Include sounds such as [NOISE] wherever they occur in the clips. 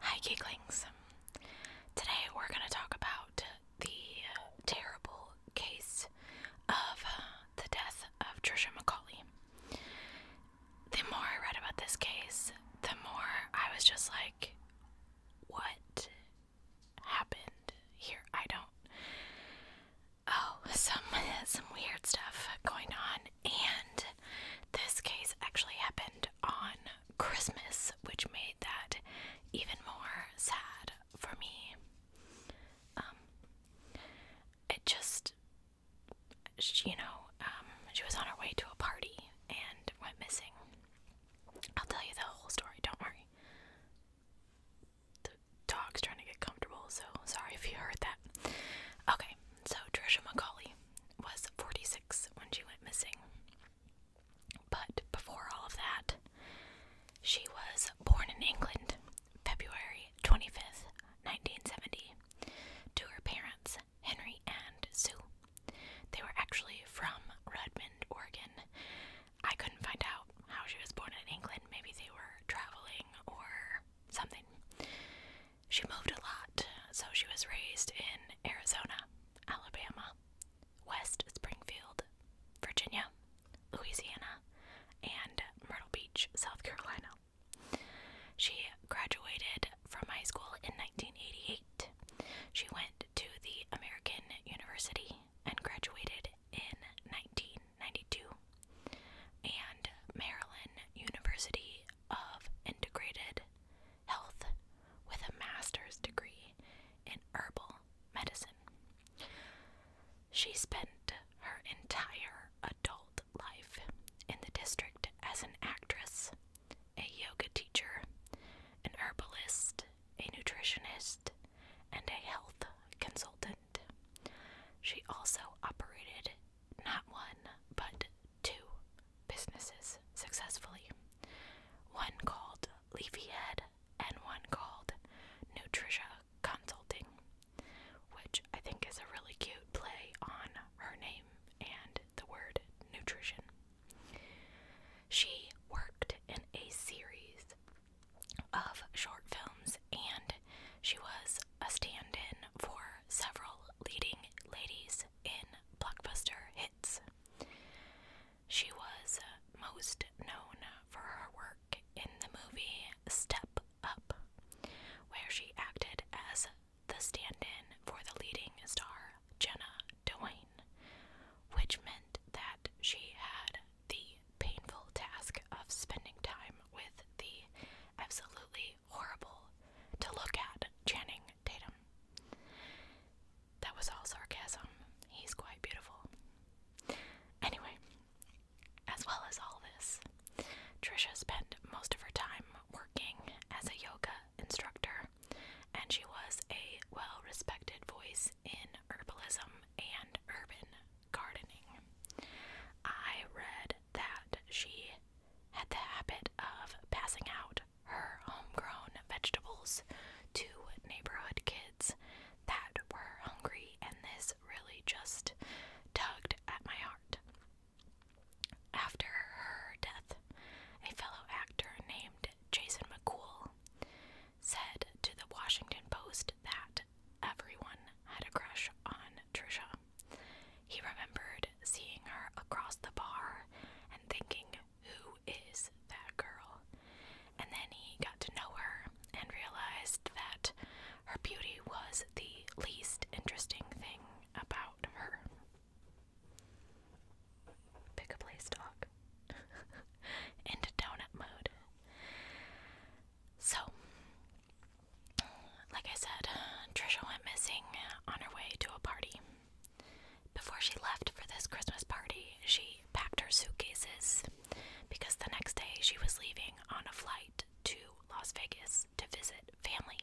Hi, Geeklings. Today we're going to talk about the terrible case of uh, the death of Trisha McCauley. The more I read about this case, the more I was just like, what happened here? I don't. Oh, some [LAUGHS] some weird stuff going on, and this case actually happened on Christmas, which made that even more sad for me. Um, it just, she, you know, um, she was on her way to a party and went missing. I'll tell you the whole story, don't worry. The dog's trying to get comfortable, so sorry if you heard that. Okay, so Trisha McCauley was 46 when she went missing. But before all of that, she was born in England, February 25th, 1970, to her parents, Henry and Sue. They were actually from Redmond, Oregon. I couldn't find out how she was born in England. Maybe they were traveling or something. She moved a lot, so she was raised in Arizona, Alabama, West Springfield, Virginia, Louisiana, and Myrtle Beach, South Carolina. She graduated from high school in 1988. She went to the American University and graduated in 1992 and Maryland University of Integrated Health with a master's degree in herbal medicine. She spent her entire adult life in the district as an actress, a yoga teacher, an herbalist, a nutritionist, and a health consultant. She also operated not one, but two businesses successfully one called Leafy Head and one called Nutritia. Consulting, which I think is a really cute play on her name and the word nutrition. She worked in a series of short films and she was a stand in for several leading ladies in blockbuster hits. She was most known for her work in the movie Step Up, where she acted as the stand in for the leading star, Jenna Dewayne, which meant that she had the painful task of spending time with the absolutely horrible to look at Channing Tatum. That was all sarcasm. He's quite beautiful. Anyway, as well as all this, Trisha spent most of her time working as a yoga instructor, and she was a well respected voice in herbalism and urban gardening. I read that she had the habit of passing out her homegrown vegetables to neighborhood kids that were hungry, and this really just tugged at my heart. After her death, a fellow actor named Jason McCool said to the Washington Post that everyone had a crush on Trisha. He remembered seeing her across the bar and thinking, who is that girl? and then he got to know her and realized that her beauty was the least interesting thing about her. Pick a place, dog. Into [LAUGHS] donut mode. So, like I said, Trisha went missing on her way to a party. Before she left for this Christmas party, she packed her suitcases because the next day she was leaving on a flight to Las Vegas to visit family.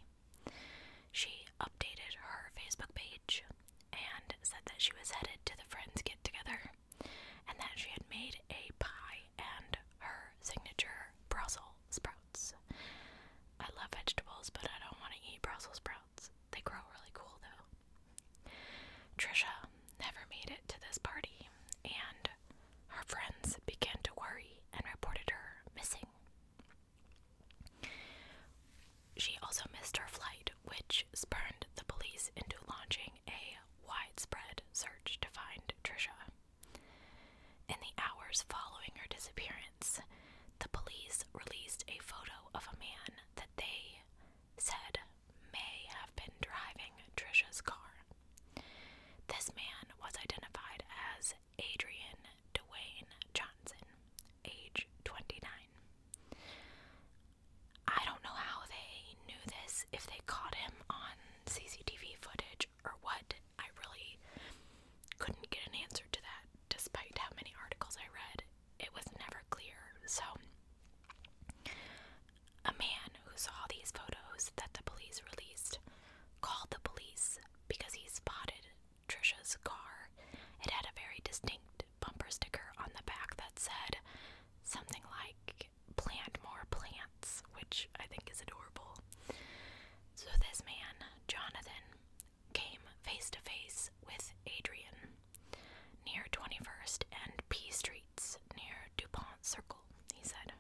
She updated her Facebook page and said that she was headed to the friends get together and that she had made a pie and her signature Brussels sprouts. I love vegetables, but I don't want to eat Brussels sprouts. They grow really cool though. Trisha never made it to this party, and her friends began to worry and reported her missing. She also missed her flight, which spurned the police into launching a widespread search to find Trisha. In the hours following her disappearance, the police released a photo of a man that they said may have been driving Trisha's car. This man was identified as Adrian Dwayne Johnson, age 29. I don't know how they knew this, if they caught him on CCTV footage or what. I really couldn't get an answer to that, despite how many articles I read. It was never clear. So, a man who saw these photos that the police released called the police because he spotted Trisha's car. It had a very distinct bumper sticker on the back that said something like, Plant more plants, which I think is adorable. So this man, Jonathan, came face to face with Adrian near 21st and P Streets near DuPont Circle, he said.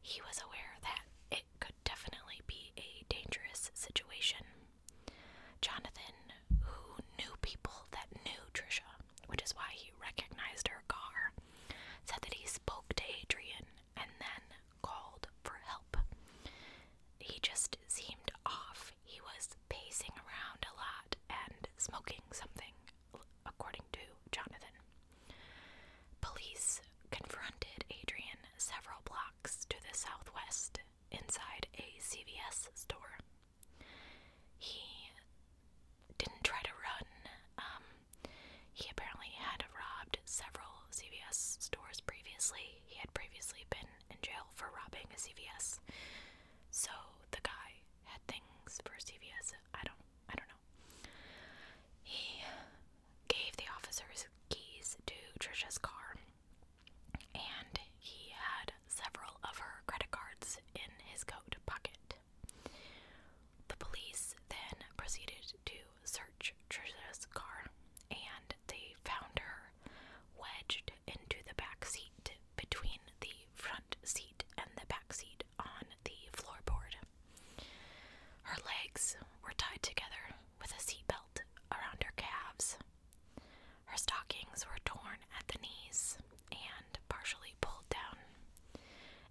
He was aware that it could definitely be a dangerous situation. Jonathan, who knew people that knew Trisha, which is why he recognized her car, said that he spoke to Adrian and then called for help. He just seemed off. He was pacing around a lot and smoking something according to Jonathan. Police confronted Adrian several blocks to the southwest inside a CVS store. He didn't try to run. Um, he apparently had robbed several CVS stores previously. He had previously been in jail for robbing a CVS. So the guy had things for CVS. I don't I don't he gave the officers keys to Trisha's car, and he had several of her credit cards in his coat pocket. The police then proceeded to search Trisha's car, and they found her wedged into the back seat between the front seat and the back seat on the floorboard. Her legs were tied together with a seatbelt around her calves. Her stockings were torn at the knees and partially pulled down,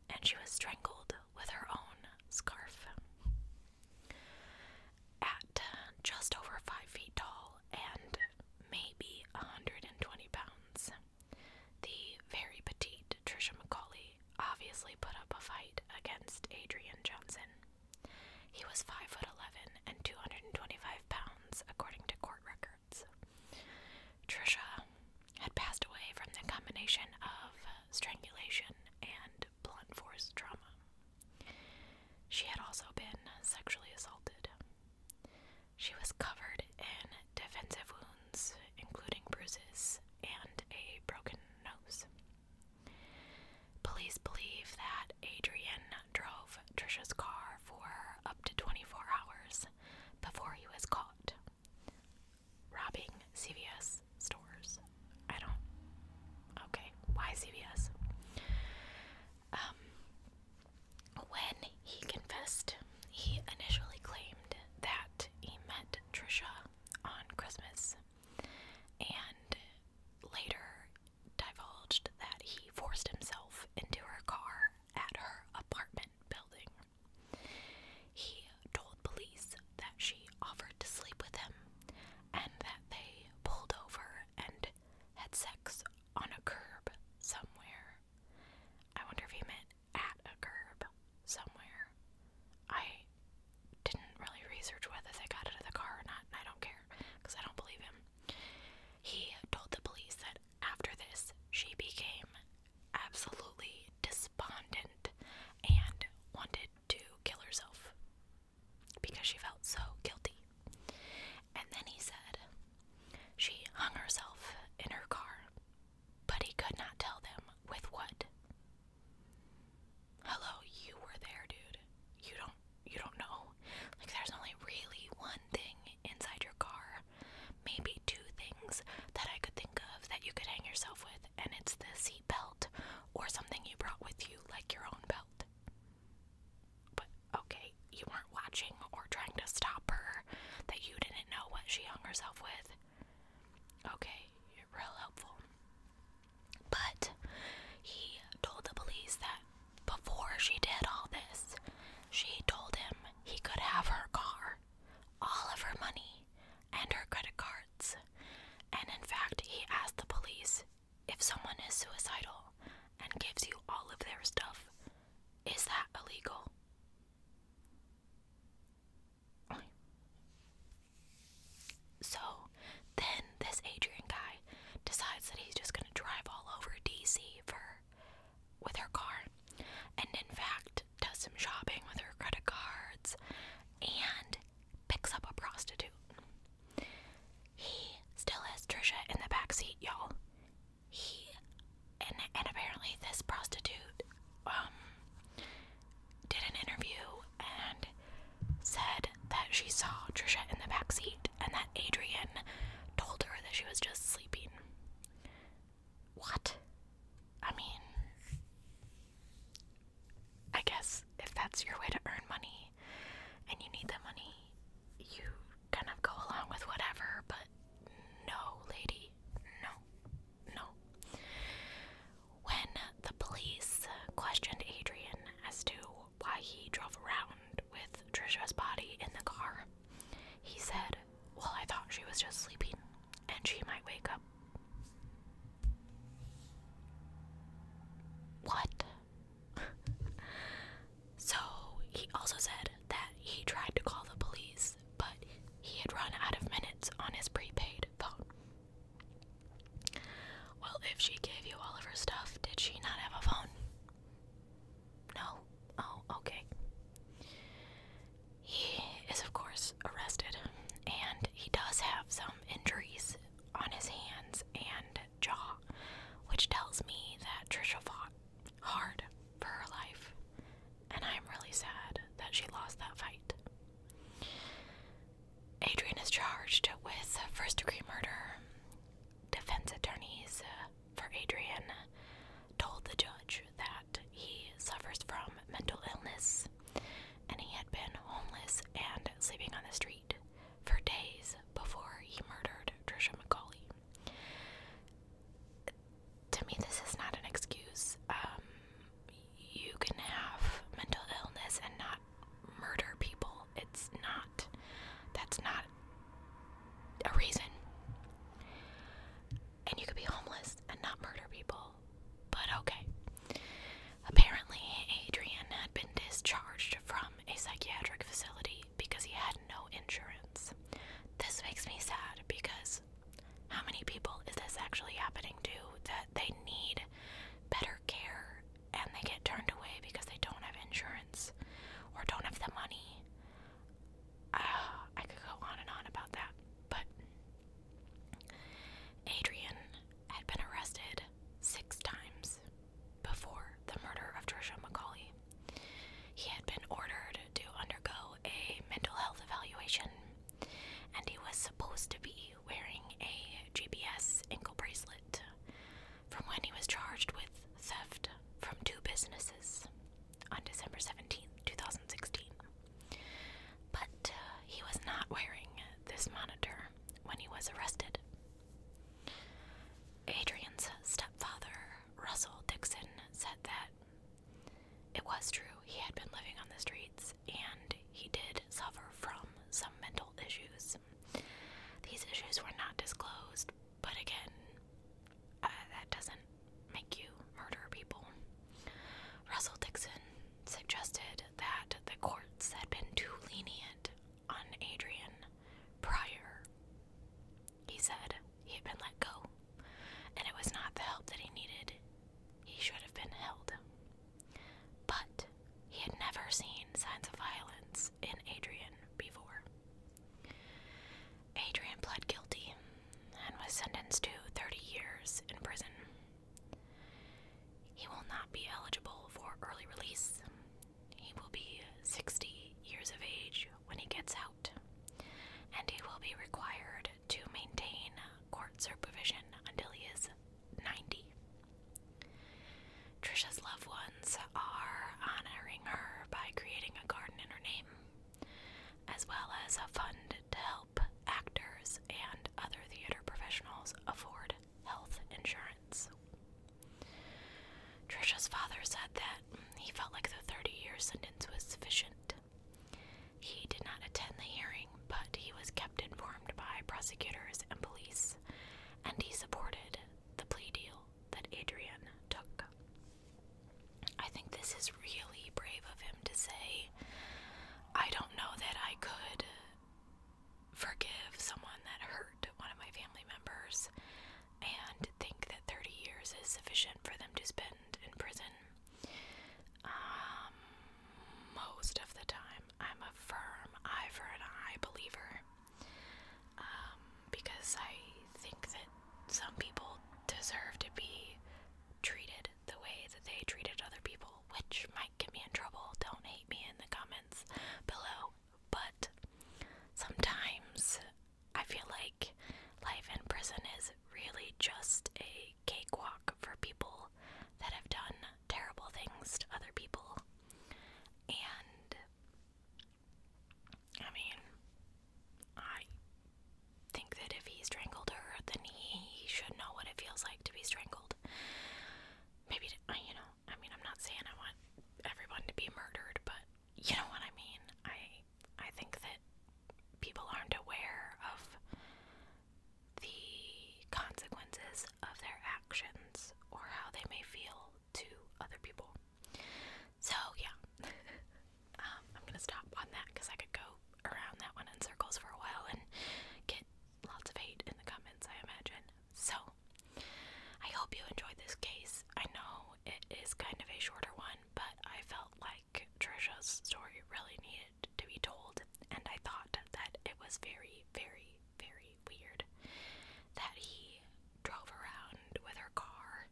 and she was strangled with her own scarf. At just over five feet tall and maybe 120 pounds, the very petite Trisha McCauley obviously put up a fight against Adrian Johnson. He was 5'11 and 225 pounds, according to court records. Trisha had passed away from the combination of strangulation and blunt force trauma. She had also been sexually assaulted. She was covered in defensive wounds including bruises and a broken nose. Police believe that Adrian drove Trisha's car for up to 24 hours before he was caught robbing CVS stores. I don't. Okay, why CVS? Um, when he confessed, he initially claimed that he met Trisha on Christmas and later divulged that he forced himself into her car at her apartment building. He told police that she offered to sleep with him and that they pulled over and had sex on a curb somewhere. I wonder if he meant at a curb somewhere. I didn't really research whether they got out of the car or not, I don't care because I don't believe him. He told the police that after this, she became absolutely despondent and wanted to kill herself because she felt so guilty. And then he said she hung herself in her car but he could not tell them with what. Hello, you were there, dude. You don't you don't know. Like there's only really one thing inside your car. Maybe two things that I could think of that you could hang yourself with, and it's the seat or something you brought with you like your own belt. But okay, you weren't watching or trying to stop her that you didn't know what she hung herself with. Okay, you're real helpful. But he told the police that before she did all this, she told him he could have her car, all of her money, and her credit cards. And in fact, he asked the police if someone is suicidal and gives you all of their stuff, is that illegal? So then this Adrian guy decides that he's just gonna drive all over DC for with her car and in fact does some shopping with her credit cards and picks up a prostitute. He still has Trisha in the back seat, y'all. He and and apparently this prostitute um did an interview and said that she saw Trisha in the back seat and that Adrian told her that she was just sleeping. What? I mean, I guess if that's your way to earn money and you need the money, you kind of go along with whatever, but no, lady, no. No. When the police questioned Adrian as to why he drove around with Trisha's body in the car, he said, Well, I thought she was just sleeping and she might wake up. What? [LAUGHS] so he also said that he tried to call the police but he had run out of minutes on his prepaid phone. Well, if she gave you all of her stuff, did she not have a phone? No? Oh, okay. He is, of course, arrested, and he does have some injuries on his hands and jaw, which tells me that Trisha fought hard for her life, and I'm really sad that she lost that fight. Adrian is charged with first degree murder. Defense attorneys for Adrian told the judge that he suffers from mental illness and he had been homeless and sleeping on the street for days before he murdered Trisha McCauley to me, this is not an excuse. Um, you can have mental illness and not murder people. It's not, that's not a reason. And you could be homeless and not murder people. But okay. Apparently, Adrian had been discharged from a psychiatric facility because he had no insurance. This makes me sad because how many people is this actually happening to that they need better care and they get turned away because they don't have insurance or don't have the money? Ah, I could go on and on about that, but Adrian had been arrested six times before the murder of Trisha McCauley. He had been ordered to undergo a mental health evaluation and he was supposed to be wearing a GPS ankle bracelet from when he was charged with theft from two businesses on December seventeenth, two 2016. But uh, he was not wearing this monitor when he was arrested. Adrian's stepfather, Russell Dixon, said that it was true, he had been living on the streets, and he did suffer from some mental issues. These issues were not disclosed, but again, uh, that doesn't make you murder people. Russell Dixon suggested that the courts had been too lenient on Adrian prior. He said he had been let go, and it was not the help that he needed. He should have been held. But he had never seen signs of violence in Adrian before. Adrian pled guilty and was sentenced to 30 years in prison. He will not be eligible for early release. He will be 60 years of age when he gets out, and he will be required to maintain court supervision until he is 90. Trisha's loved ones are honoring her by creating a garden in her name, as well as a fund to help actors and other theater professionals afford health insurance. Trisha's father said that he felt like the 30 year sentence was sufficient he did not attend the hearing, but he was kept informed by prosecutors and police, and he supported the plea deal that Adrian took. I think this is really brave of him to say, I don't know that I could forgive someone that hurt one of my family members and think that 30 years is sufficient for them to spend in prison. Um, most of the time, I'm a firm eye for an eye believer. Um, because I think that some people deserve to be treated the way that they treated other people, which might get me in trouble. Don't hate me in the comments below. But sometimes I feel like life in prison is really just a a cakewalk for people that have done terrible things to other people. And I mean, I think that if he strangled her, then he should know what it feels like to be strangled. Maybe, you know, I mean, I'm not saying I want everyone to be murdered, but you know what I mean. I I think that people aren't aware of the consequences of their actions or how they may feel to other people. So, yeah, [LAUGHS] um, I'm gonna stop on that because I could go around that one in circles for a while and get lots of hate in the comments, I imagine. So, I hope you enjoyed this case. I know it is kind of a shorter one, but I felt like Trisha's story really needed to be told, and I thought that it was very, very, very weird that he drove around with her car,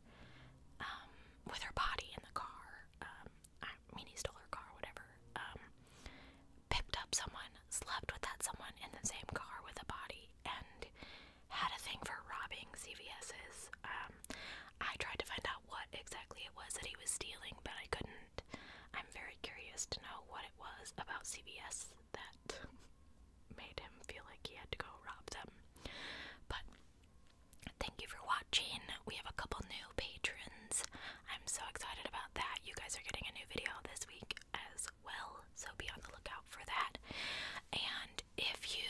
um, with her body in the car. Um, I mean, he stole her car, whatever. Um, picked up someone, slept with that someone in the same car with a body, and had a thing for robbing CVS's. Um, I tried to find out what exactly it was that he was stealing, but I couldn't I'm very curious to know what it was about CBS that [LAUGHS] made him feel like he had to go rob them. But thank you for watching. We have a couple new patrons. I'm so excited about that. You guys are getting a new video this week as well, so be on the lookout for that. And if you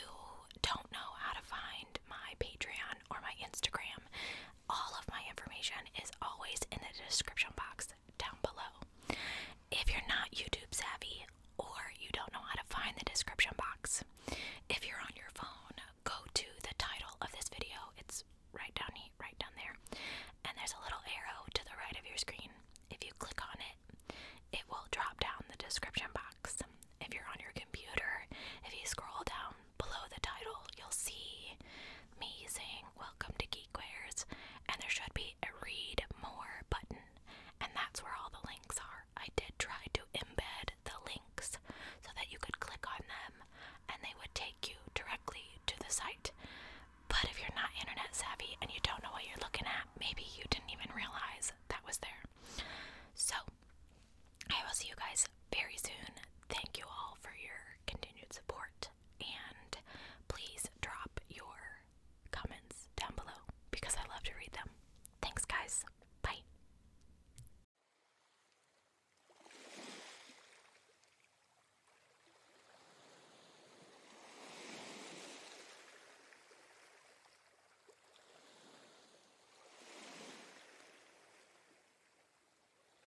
don't know how to find my Patreon or my Instagram, all of my information is always in the description box down below. If you're not YouTube savvy or you don't know how to find the description box, if you're on your phone, go to the title of this video. It's right down here, right down there. And there's a little arrow to the right of your screen. If you click on it, it will drop down the description box. If you're on your computer, if you scroll down, below the title, you'll see me saying Welcome to Geekwares, and there should be a Read More button, and that's where all the links are. I did try to embed the links so that you could click on them and they would take you directly to the site. But if you're not internet savvy and you don't know what you're looking at, maybe you didn't even realize that was there. So, I will see you guys very soon. Thank you all for your continued support and please drop your comments down below because I love to read them. Thanks, guys. Bye.